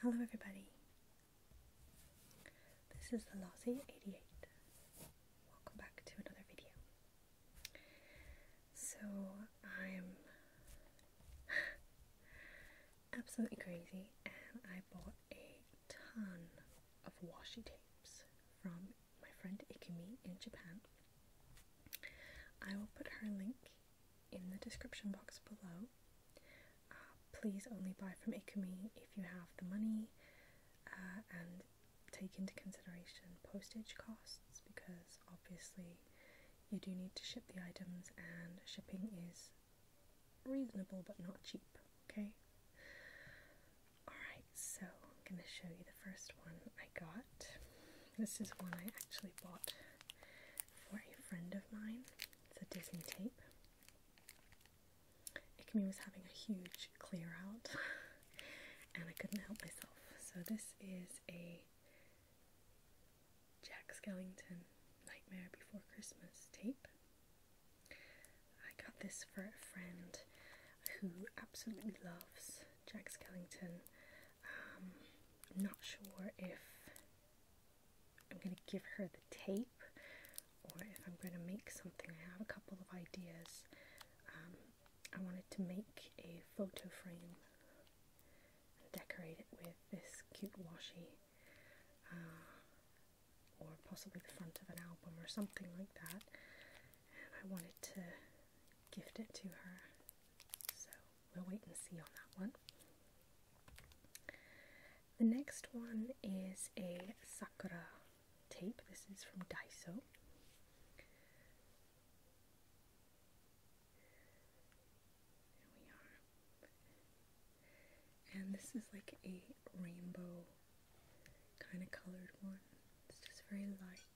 Hello, everybody. This is the Lossy 88. Welcome back to another video. So, I'm absolutely crazy and I bought a ton of washi tapes from my friend Ikumi in Japan. I will put her link in the description box below. Uh, please only buy from Ikumi if you have the money uh, and take into consideration postage costs because obviously you do need to ship the items and shipping is reasonable but not cheap, okay? Alright, so I'm going to show you the first one I got. This is one I actually bought for a friend of mine. It's a Disney tape. Ikemi was having a huge clear out and I couldn't help myself. So this is a Jack Skellington Nightmare Before Christmas tape. I got this for a friend who absolutely loves Jack Skellington I'm um, not sure if I'm going to give her the tape or if I'm going to make something. I have a couple of ideas. Um, I wanted to make a photo frame and decorate it with this cute washi uh, or possibly the front of an album or something like that. And I wanted to gift it to her. So we'll wait and see on that one. The next one is a Sakura tape. This is from Daiso. There we are. And this is like a rainbow kind of colored one. It's just very light.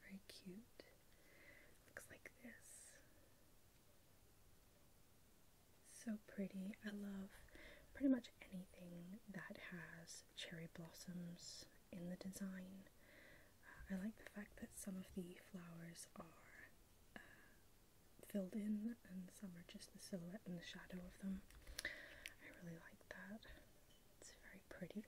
Very cute. Looks like this. So pretty. I love pretty much anything that has cherry blossoms in the design. Uh, I like the fact that some of the flowers are uh, filled in and some are just the silhouette and the shadow of them. I really like that. It's very pretty.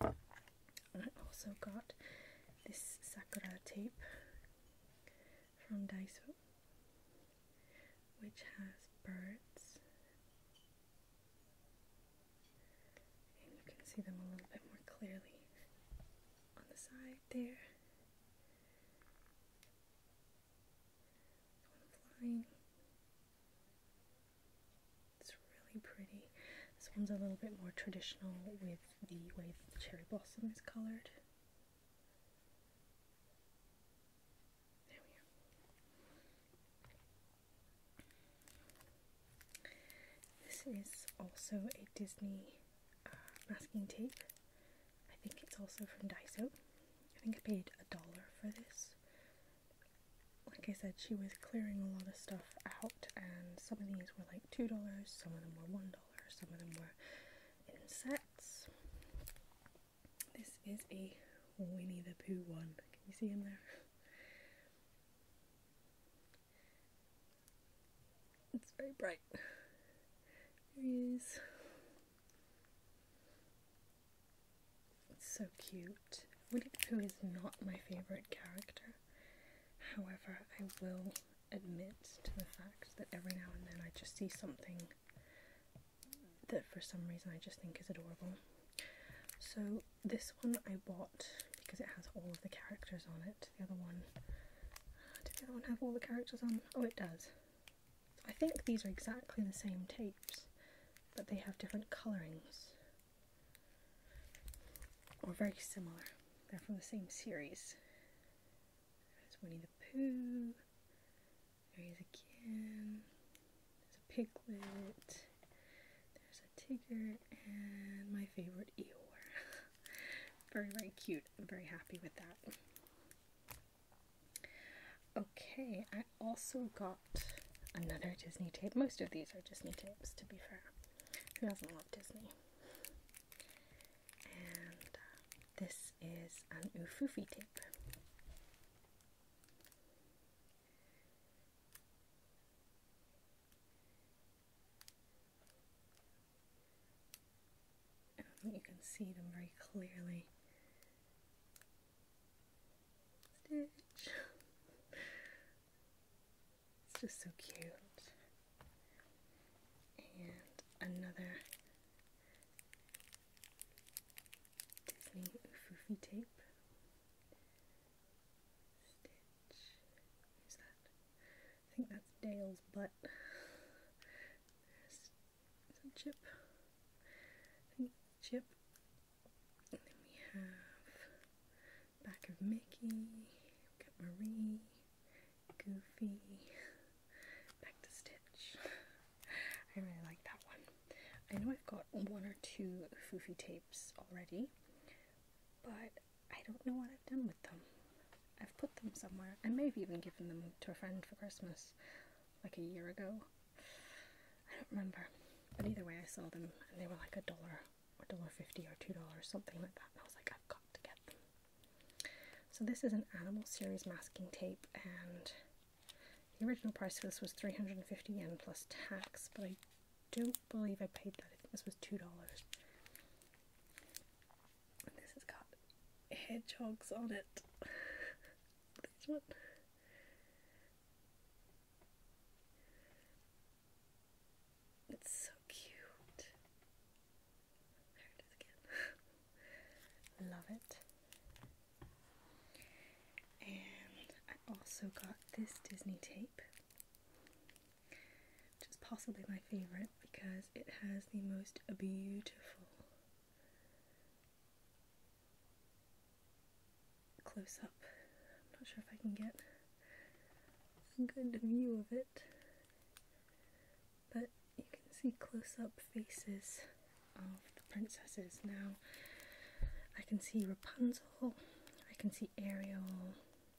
I also got this Sakura tape from Daiso which has birds you can see them a little bit more clearly on the side there. flying. It's really pretty. This one's a little bit more traditional with the way the cherry blossom is colored. There we are. This is also a Disney uh, masking tape. I think it's also from Daiso. I think I paid a dollar for this like I said, she was clearing a lot of stuff out, and some of these were like $2, some of them were $1, some of them were in sets. This is a Winnie the Pooh one. Can you see him there? It's very bright. There he is. It's so cute. Winnie the Pooh is not my favorite character. However, I will admit to the fact that every now and then I just see something that for some reason I just think is adorable. So this one I bought because it has all of the characters on it. The other one, uh, did the one have all the characters on? Oh, it does. I think these are exactly the same tapes, but they have different colorings or very similar. They're from the same series. There's Winnie the Pooh. There he is again. There's a piglet. There's a tiger and my favorite Eeyore. very, very cute. I'm very happy with that. Okay, I also got another Disney tape. Most of these are Disney tapes, to be fair. Who doesn't love Disney? And uh, this is an Ufufi tape. Um, you can see them very clearly. Stitch. It's just so cute. And another Disney Oofy tape. Stitch. Who's that? I think that's Dale's butt. chip. I think Chip we have back of Mickey, we've got Marie, Goofy, back to Stitch. I really like that one. I know I've got one or two Foofy tapes already, but I don't know what I've done with them. I've put them somewhere. I may have even given them to a friend for Christmas like a year ago. I don't remember. But either way, I saw them and they were like a dollar or dollar fifty or two dollars, something like that. And I was like, I've got to get them. So this is an animal series masking tape, and the original price for this was 350 yen plus tax, but I don't believe I paid that. I think this was two dollars. This has got hedgehogs on it. this one. It's so cute. Love it. And I also got this Disney tape, which is possibly my favorite because it has the most beautiful close up. I'm not sure if I can get a good view of it. But you can see close up faces of the princesses now. I can see Rapunzel, I can see Ariel,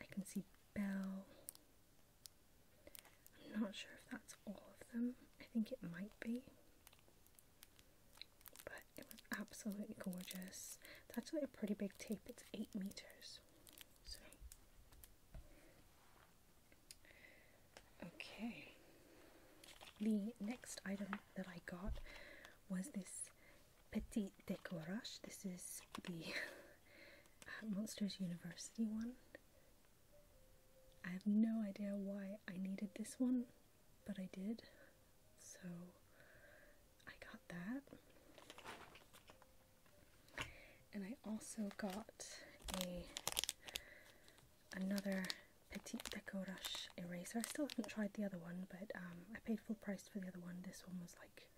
I can see Belle. I'm not sure if that's all of them. I think it might be. But it was absolutely gorgeous. It's actually a pretty big tape, it's eight meters. So okay. The next item that I got was this Petit Décorage. This is the Monsters University one. I have no idea why I needed this one, but I did. So I got that. And I also got a another Petit Deco eraser. I still haven't tried the other one, but um, I paid full price for the other one. This one was like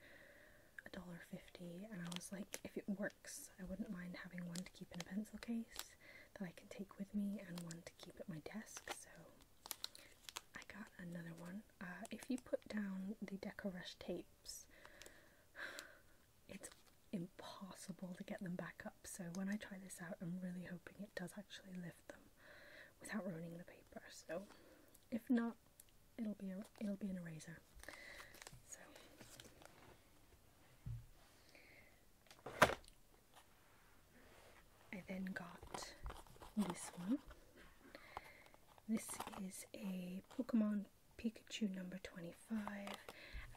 a dollar fifty, and I was like, if it works, I wouldn't mind having one to keep in a pencil case that I can take with me and one to keep at my desk. So I got another one. Uh, if you put down the Rush tapes, it's impossible to get them back up. So when I try this out, I'm really hoping it does actually lift them without ruining the paper. So if not, it'll be a, it'll be an eraser. So I then got this one. This is a Pokemon Pikachu number 25.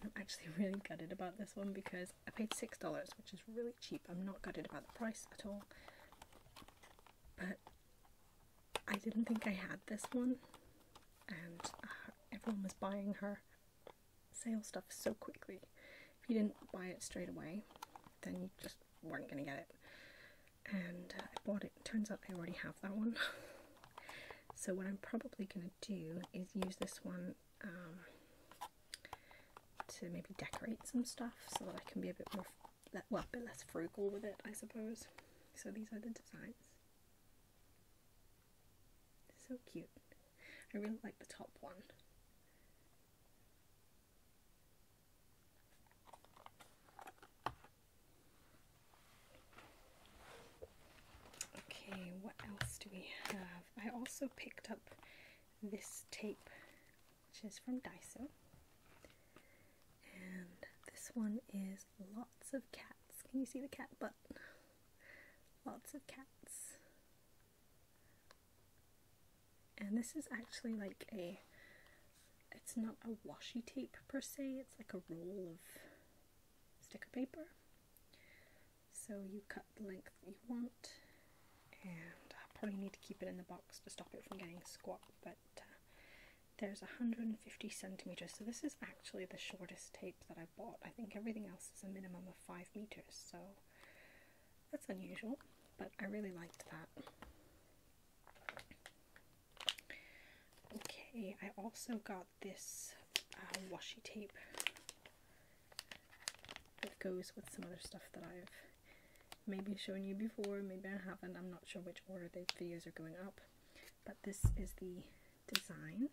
I'm actually really gutted about this one because I paid $6, which is really cheap. I'm not gutted about the price at all. But I didn't think I had this one, and uh, everyone was buying her sale stuff so quickly. If you didn't buy it straight away, then you just weren't going to get it. And uh, I bought it. Turns out I already have that one. so what I'm probably going to do is use this one um, to maybe decorate some stuff so that I can be a bit more, well, a bit less frugal with it, I suppose. So these are the designs. So cute. I really like the top one. Okay, what else do we have? I also picked up this tape, which is from Daiso. And this one is lots of cats. Can you see the cat butt? Lots of cats. And this is actually like a, it's not a washi tape per se, it's like a roll of sticker paper. So you cut the length you want, and I probably need to keep it in the box to stop it from getting squat, but uh, there's 150 centimeters, so this is actually the shortest tape that I. I think everything else is a minimum of five meters, so that's unusual, but I really liked that. Okay, I also got this uh, washi tape that goes with some other stuff that I've maybe shown you before, maybe I haven't, I'm not sure which order the videos are going up, but this is the design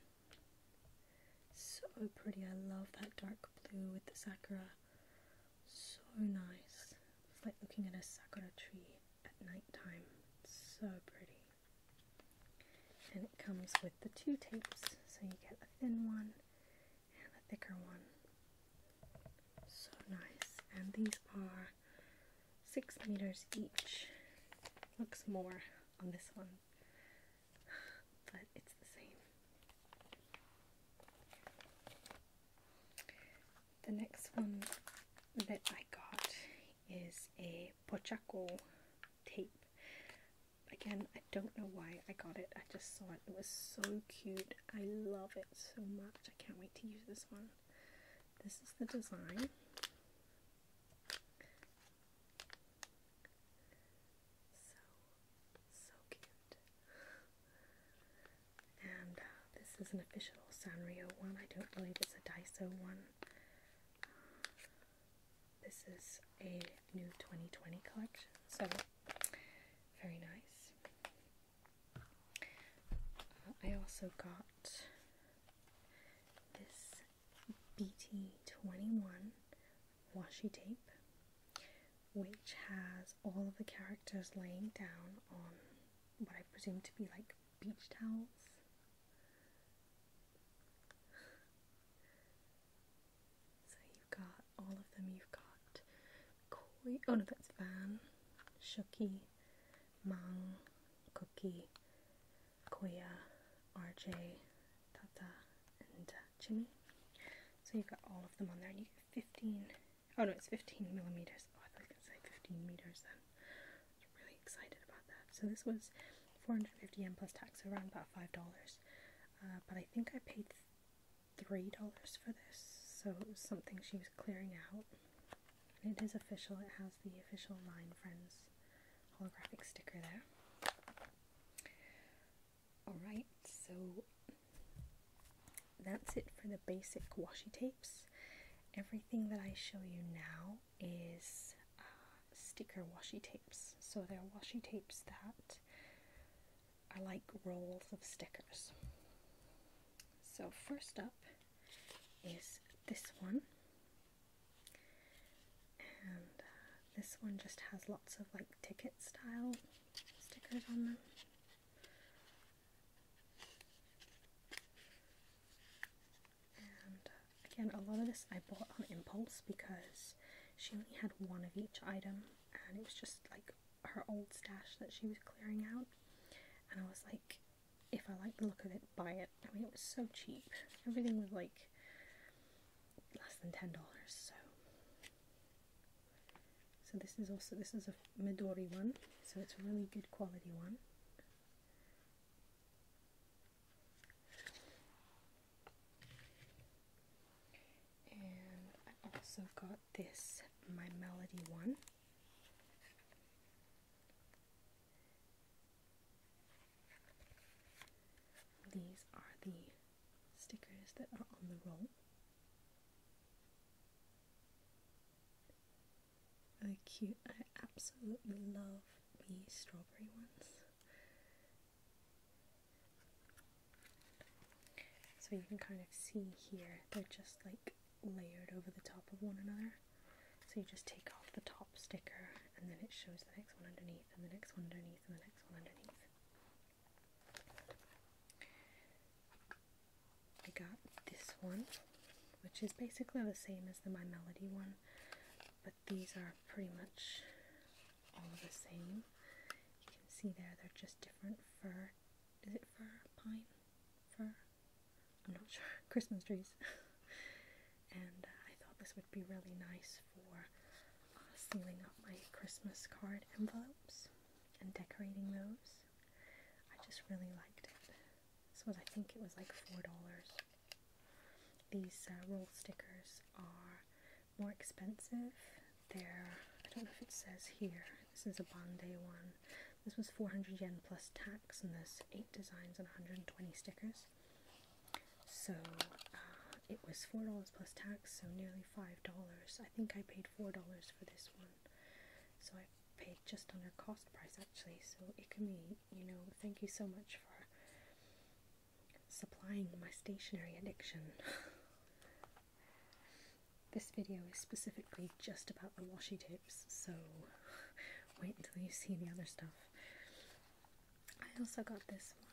so pretty, I love that dark blue with the sakura. So nice. It's like looking at a sakura tree at night time. so pretty. And it comes with the two tapes, so you get a thin one and a thicker one. So nice. And these are six meters each. Looks more on this one, but it's the same. The next one that I got is a Pochaco tape. Again, I don't know why I got it, I just saw it. It was so cute. I love it so much. I can't wait to use this one. This is the design. So, so cute. And uh, this is an official Sanrio one. I don't believe it's a Daiso one. this is a new 2020 collection, so very nice. Uh, I also got this BT21 washi tape, which has all of the characters laying down on what I presume to be like beach towels. So you've got all of them. You've got Corey. Oh no, that's Van, Shuki, Mang, Cookie, Koya, RJ, Tata, and uh, Jimmy. So you've got all of them on there, and you get 15. Oh no, it's 15 millimeters. Oh, I thought I was gonna say 15 meters then. really excited about that. So this was 450 yen plus tax, so around about five dollars. Uh, but I think I paid three dollars for this, so it was something she was clearing out. And it is official, it has the official Line Friends holographic sticker there. Alright, so that's it for the basic washi tapes. Everything that I show you now is uh, sticker washi tapes. So they're washi tapes that are like rolls of stickers. So first up is this one. And uh, this one just has lots of like ticket style stickers on them. And uh, again, a lot of this I bought on impulse because she only had one of each item and it was just like her old stash that she was clearing out. And I was like, if I like the look of it, buy it. I mean, it was so cheap. Everything was like less than ten dollars. So, so this is also this is a Midori one. So it's a really good quality one. And I also got this My Melody one. These are the stickers that are on the roll. Really cute. I absolutely love the strawberry ones. So you can kind of see here, they're just like layered over the top of one another. So you just take off the top sticker and then it shows the next one underneath and the next one underneath and the next one underneath. I got this one, which is basically the same as the My Melody one, but these are pretty much all the same. You can see there, they're just different fur. Is it fur Pine? Fir? I'm not sure, Christmas trees. and uh, I thought this would be really nice for uh, sealing up my Christmas card envelopes and decorating those. I just really liked it. This was, I think it was like $4. These uh, roll stickers are more expensive. They're, I don't know if it says here, this is a Bondi one. This was 400 yen plus tax, and there's 8 designs and 120 stickers. So uh, it was $4 plus tax, so nearly $5. I think I paid $4 for this one. So I paid just under cost price actually. So it can be, you know, thank you so much for supplying my stationery addiction. this video is specifically just about the washi tapes, so wait until you see the other stuff. I also got this one.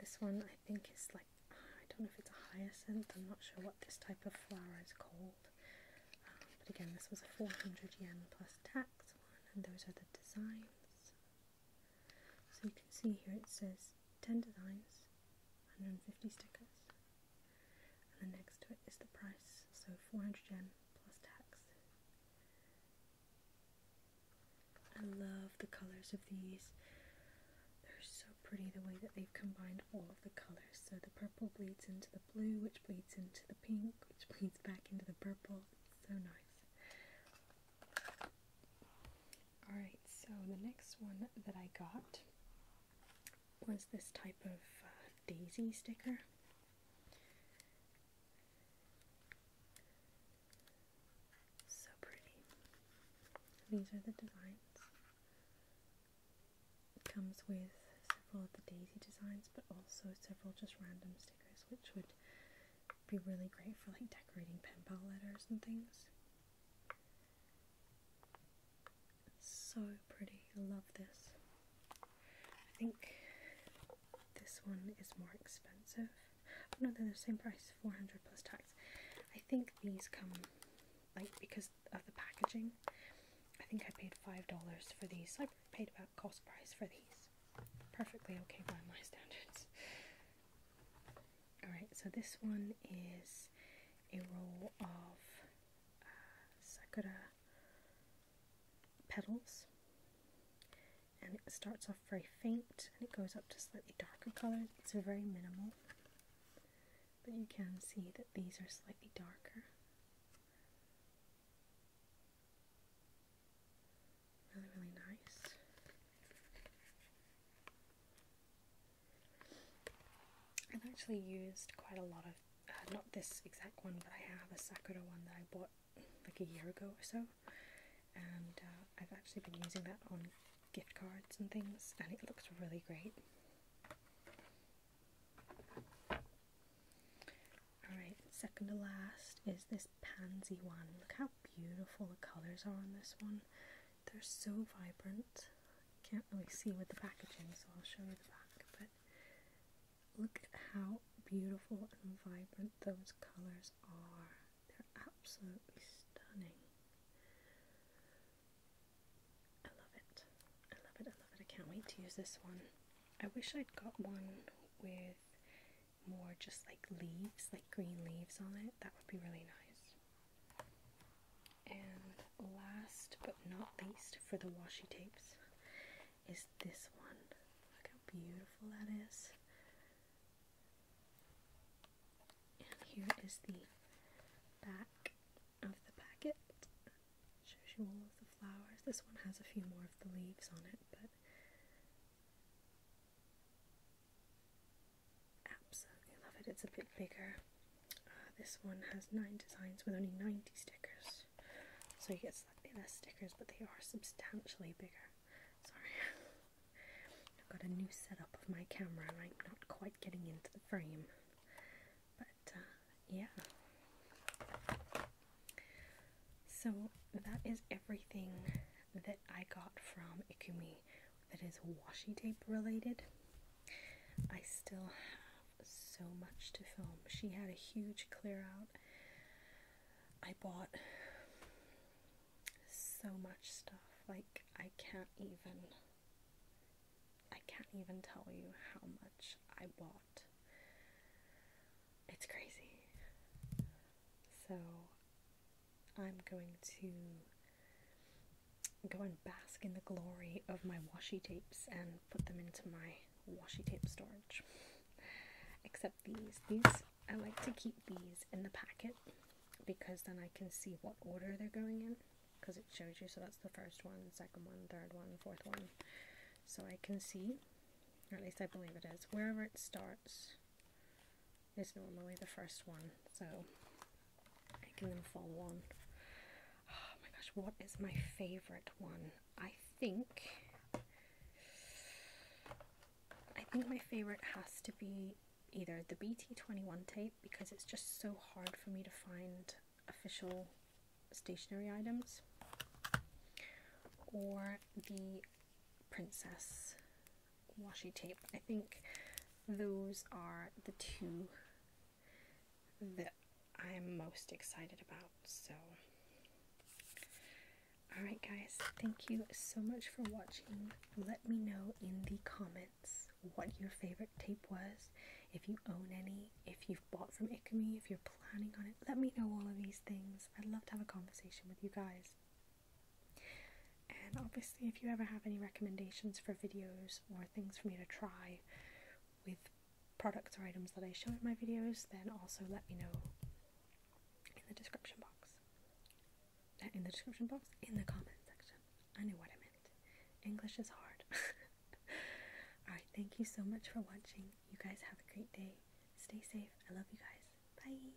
This one I think is like, I don't know if it's a hyacinth, I'm not sure what this type of flower is called. Um, but again, this was a 400 yen plus tax one, and those are the designs. So you can see here it says 10 designs, 150 stickers and then next to it is the price, so 400 yen plus tax. I love the colours of these. They're so pretty the way that they've combined all of the colours. So the purple bleeds into the blue, which bleeds into the pink, which bleeds back into the purple. so nice. Alright, so the next one that I got was this type of uh, daisy sticker. So pretty. These are the designs. It comes with several of the daisy designs, but also several just random stickers, which would be really great for like decorating pen pal letters and things so pretty. I love this. I think this one is more expensive. Oh no, they're the same price, 400 plus tax. I think these come like because of the packaging. I think I paid five dollars for these. I paid about cost price for these. Perfectly okay by my standards. Alright, so this one is a roll of sakura petals and it starts off very faint and it goes up to slightly darker colors. It's very minimal, but you can see that these are slightly darker. Really, really nice. I've actually used quite a lot of, uh, not this exact one, but I have a Sakura one that I bought like a year ago or so, and uh, I've actually been using that on gift cards and things, and it looks really great. Alright, second to last is this pansy one. Look how beautiful the colours are on this one. They're so vibrant can't really see with the packaging, so I'll show you the back. But look at how beautiful and vibrant those colors are. They're absolutely stunning. I love it. I love it. I love it. I can't wait to use this one. I wish I'd got one with more just like leaves, like green leaves on it. That would be really nice. And last but not least for the washi tapes is this one. Look how beautiful that is. And here is the back of the packet. Shows you all of the flowers. This one has a few more of the leaves on it, but absolutely love it. It's a bit bigger. Uh, this one has nine designs with only 90 stickers, so you get slightly less stickers, but they are substantially bigger. Sorry, I've got a new setup of my camera, and I'm not quite getting into the frame, but uh, yeah. So that is everything that I got from Ikumi that is washi tape related. I still have so much to film. She had a huge clear out. I bought so much stuff. Like I can't even I can't even tell you how much I bought. It's crazy. So I'm going to go and bask in the glory of my washi tapes and put them into my washi tape storage. Except these. These I like to keep these in the packet because then I can see what order they're going in because it shows you so that's the first one, second one, third one, fourth one. So I can see, or at least I believe it is, wherever it starts is normally the first one. So I can then follow on. Oh my gosh, what is my favorite one? I think I think my favorite has to be either the BT21 tape because it's just so hard for me to find official stationery items or the princess washi tape. I think those are the two that I'm most excited about. So, alright, guys, thank you so much for watching. Let me know in the comments what your favorite tape was, if you own any, if you've bought from Ikami, if you're planning on it. Let me know all of these things. I'd love to have a conversation with you guys. And obviously, if you ever have any recommendations for videos or things for me to try with products or items that I show in my videos, then also let me know in the description box. Uh, in the description box? In the comment section. I knew what I meant. English is hard. Alright, thank you so much for watching. You guys have a great day. Stay safe. I love you guys. Bye.